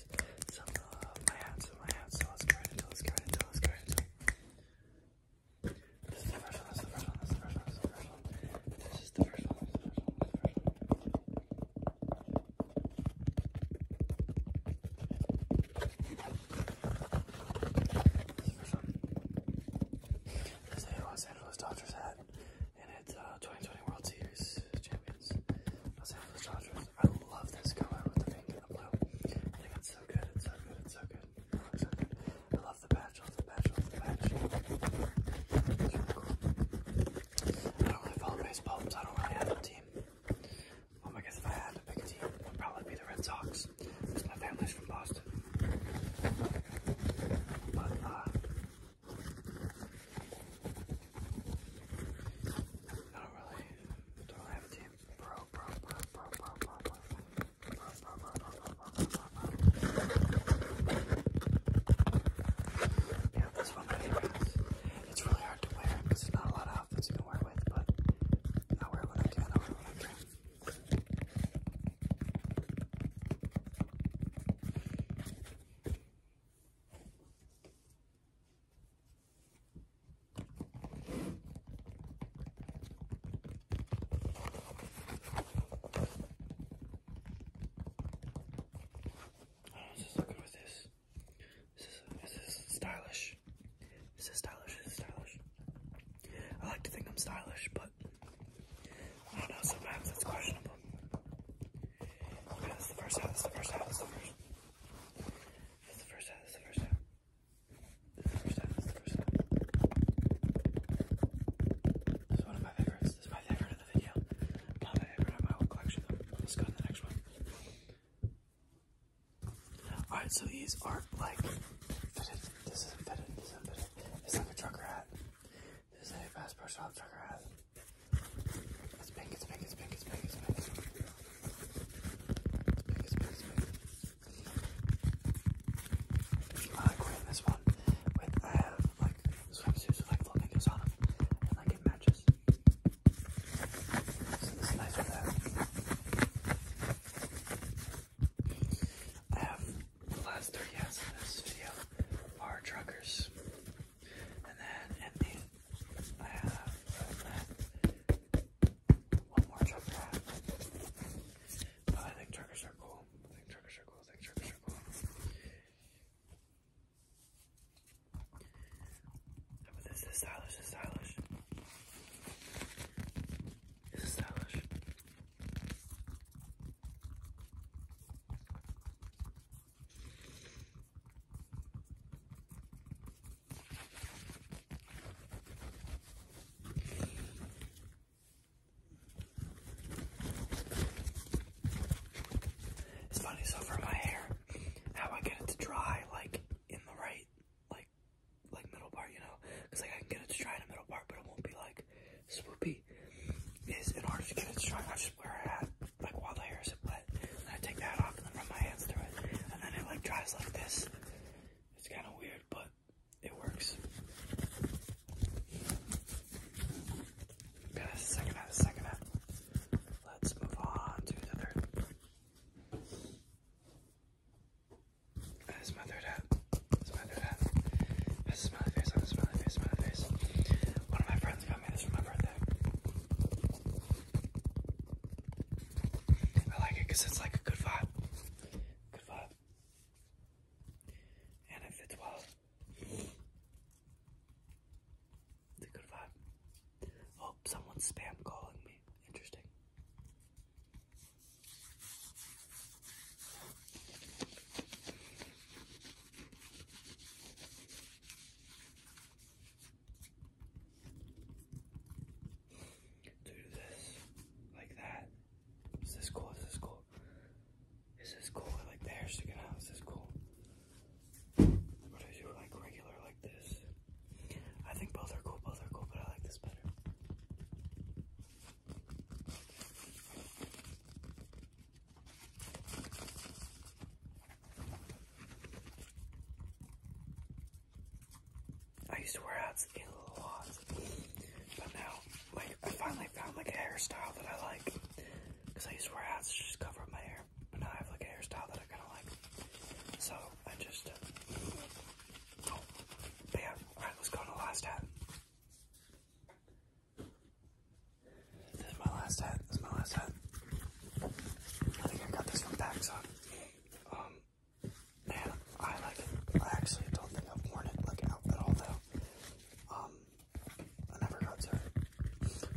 hats. Some love my hats and my hats. So let's get right into let's get right into let's get right into This is the first one, this is the first one, this is the first one, this is the first one. This is the first one, this is the first one, this is the first one. This is the first one. This is a Los Angeles Dodgers hat. And it's uh, 2020 World Series champions. Los Angeles Dodgers. I love this color with the pink and the blue. I think it's so good, it's so good, it's so good. It looks so good. I love the patch, I love the patch, I love the patch. It's really cool. I don't really follow baseball because I don't really have a team. Um, I guess if I had to pick a team, it would probably be the Red Sox because my family's from Boston. But, uh, I don't really, don't really have a team. Yeah, that's one of my It's really hard to wear because there's not a lot of outfits you can wear with, but it I wear it when I can. Oh, this is good with this. This is this is stylish. This is stylish. This is stylish. I like to think I'm stylish, but I don't know. Sometimes it's questionable. Yeah, that's the first half, that's the first half, that's the first That's the first half, that's the first half. That's the first half, that's the first half. This is one of my favorites. This is my favorite of the video. Not my favorite of my whole collection though. Let's go to the next one. Alright, so these aren't like fitted. This isn't fitted, this isn't fitted. It's like a trucker hat. This is a fast brush off trucker hat. It's big, it's big, it's big, it's big, it's big. It's big, it's big, it's big. I like wearing this one with, I have like swimsuits with like flamingos on them and like it matches. So this is nice for that. I have the last three yes in this video are truckers. And then in these, I have one more trucker hat. Oh, I think truckers are cool. I think truckers are cool. I think truckers are cool. But this is stylish. This is stylish. This is stylish. It's funny, so for my hair, how I get it to dry, like, in the right, like, like middle part, you know? Because, like, I can get it to dry in the middle part, but it won't be, like, swoopy is in order to get it strong, I just wear a hat like while the hair is wet, and I take the hat off and then run my hands through it, and then it like dries like this. It's kind of weird, but it works. Okay, that's the second hat, second hat. Let's move on to the third. That is my third hat. That's my third hat. That's my face, that's my face, my face. One of my I like it because it's like a good vibe. Good vibe. And it fits well. good vibe. Oh, someone's spam calling me. Interesting. Do this like that. Is this cool? Is this cool? Is this cool? I like the hair sticking out. Is this cool? What do I like regular like this? I think both are cool, both are cool, but I like this better. I used to wear hats a lot, but now, like, I finally found like a hairstyle that I like. Cause I used to wear hats to just cover up my hair, but now I have like a hairstyle that I kind of like. So I just, uh, oh, yeah. All right, let's go on the last hat. This is my last hat. This is my last hat. I think I got this from Paxson. Um, and I like I actually don't think I've worn it like out at all though. Um, I never got to it.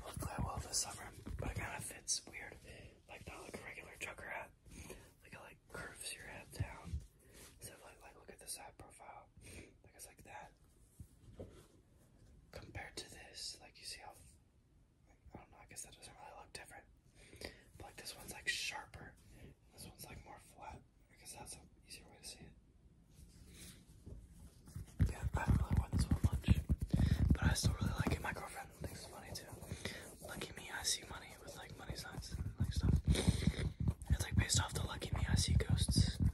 Hopefully I will this summer. But it kind of fits weird, like not like a regular trucker hat. Like it like curves your head down. So like like look at this hat profile. Like it's like that compared to this, like you see how I don't know, I guess that doesn't really look different. But this one's like sharper, this one's like more flat. I guess that's an easier way to see it. Yeah, I don't really this one much, but I still really like it. My girlfriend thinks it's funny too. Lucky me, I see money with like money signs like stuff. It's like based off the Lucky Me, I see ghosts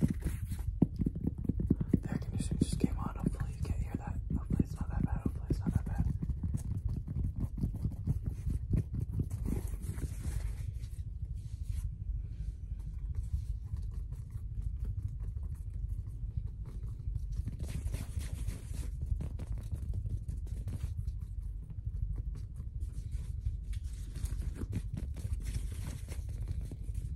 The air conditioning just came on. Hopefully you can't hear that. Hopefully it's not that bad. Hopefully it's not that bad.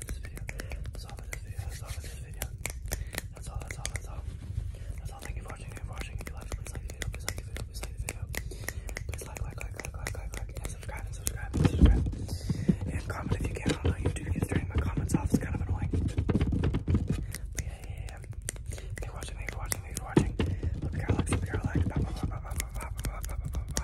for this video. That's all for this That's all for this video. That's all, that's all, that's all. That's all. Thank you for watching. Thank you for watching. If you liked it, please like the video. Please like the video. Please like the video. Please like, like, like, like, like, like, like, and subscribe, and subscribe, and subscribe. And comment if you can. I don't know YouTube is turning my comments off. It's kind of annoying. But yeah, yeah, yeah. Thank you for watching. Thank you for watching. Thank you for watching. Love you, Caroline. Love you, Caroline. Bye, bye, bye, bye, bye, bye, bye, bye, bye, bye, bye.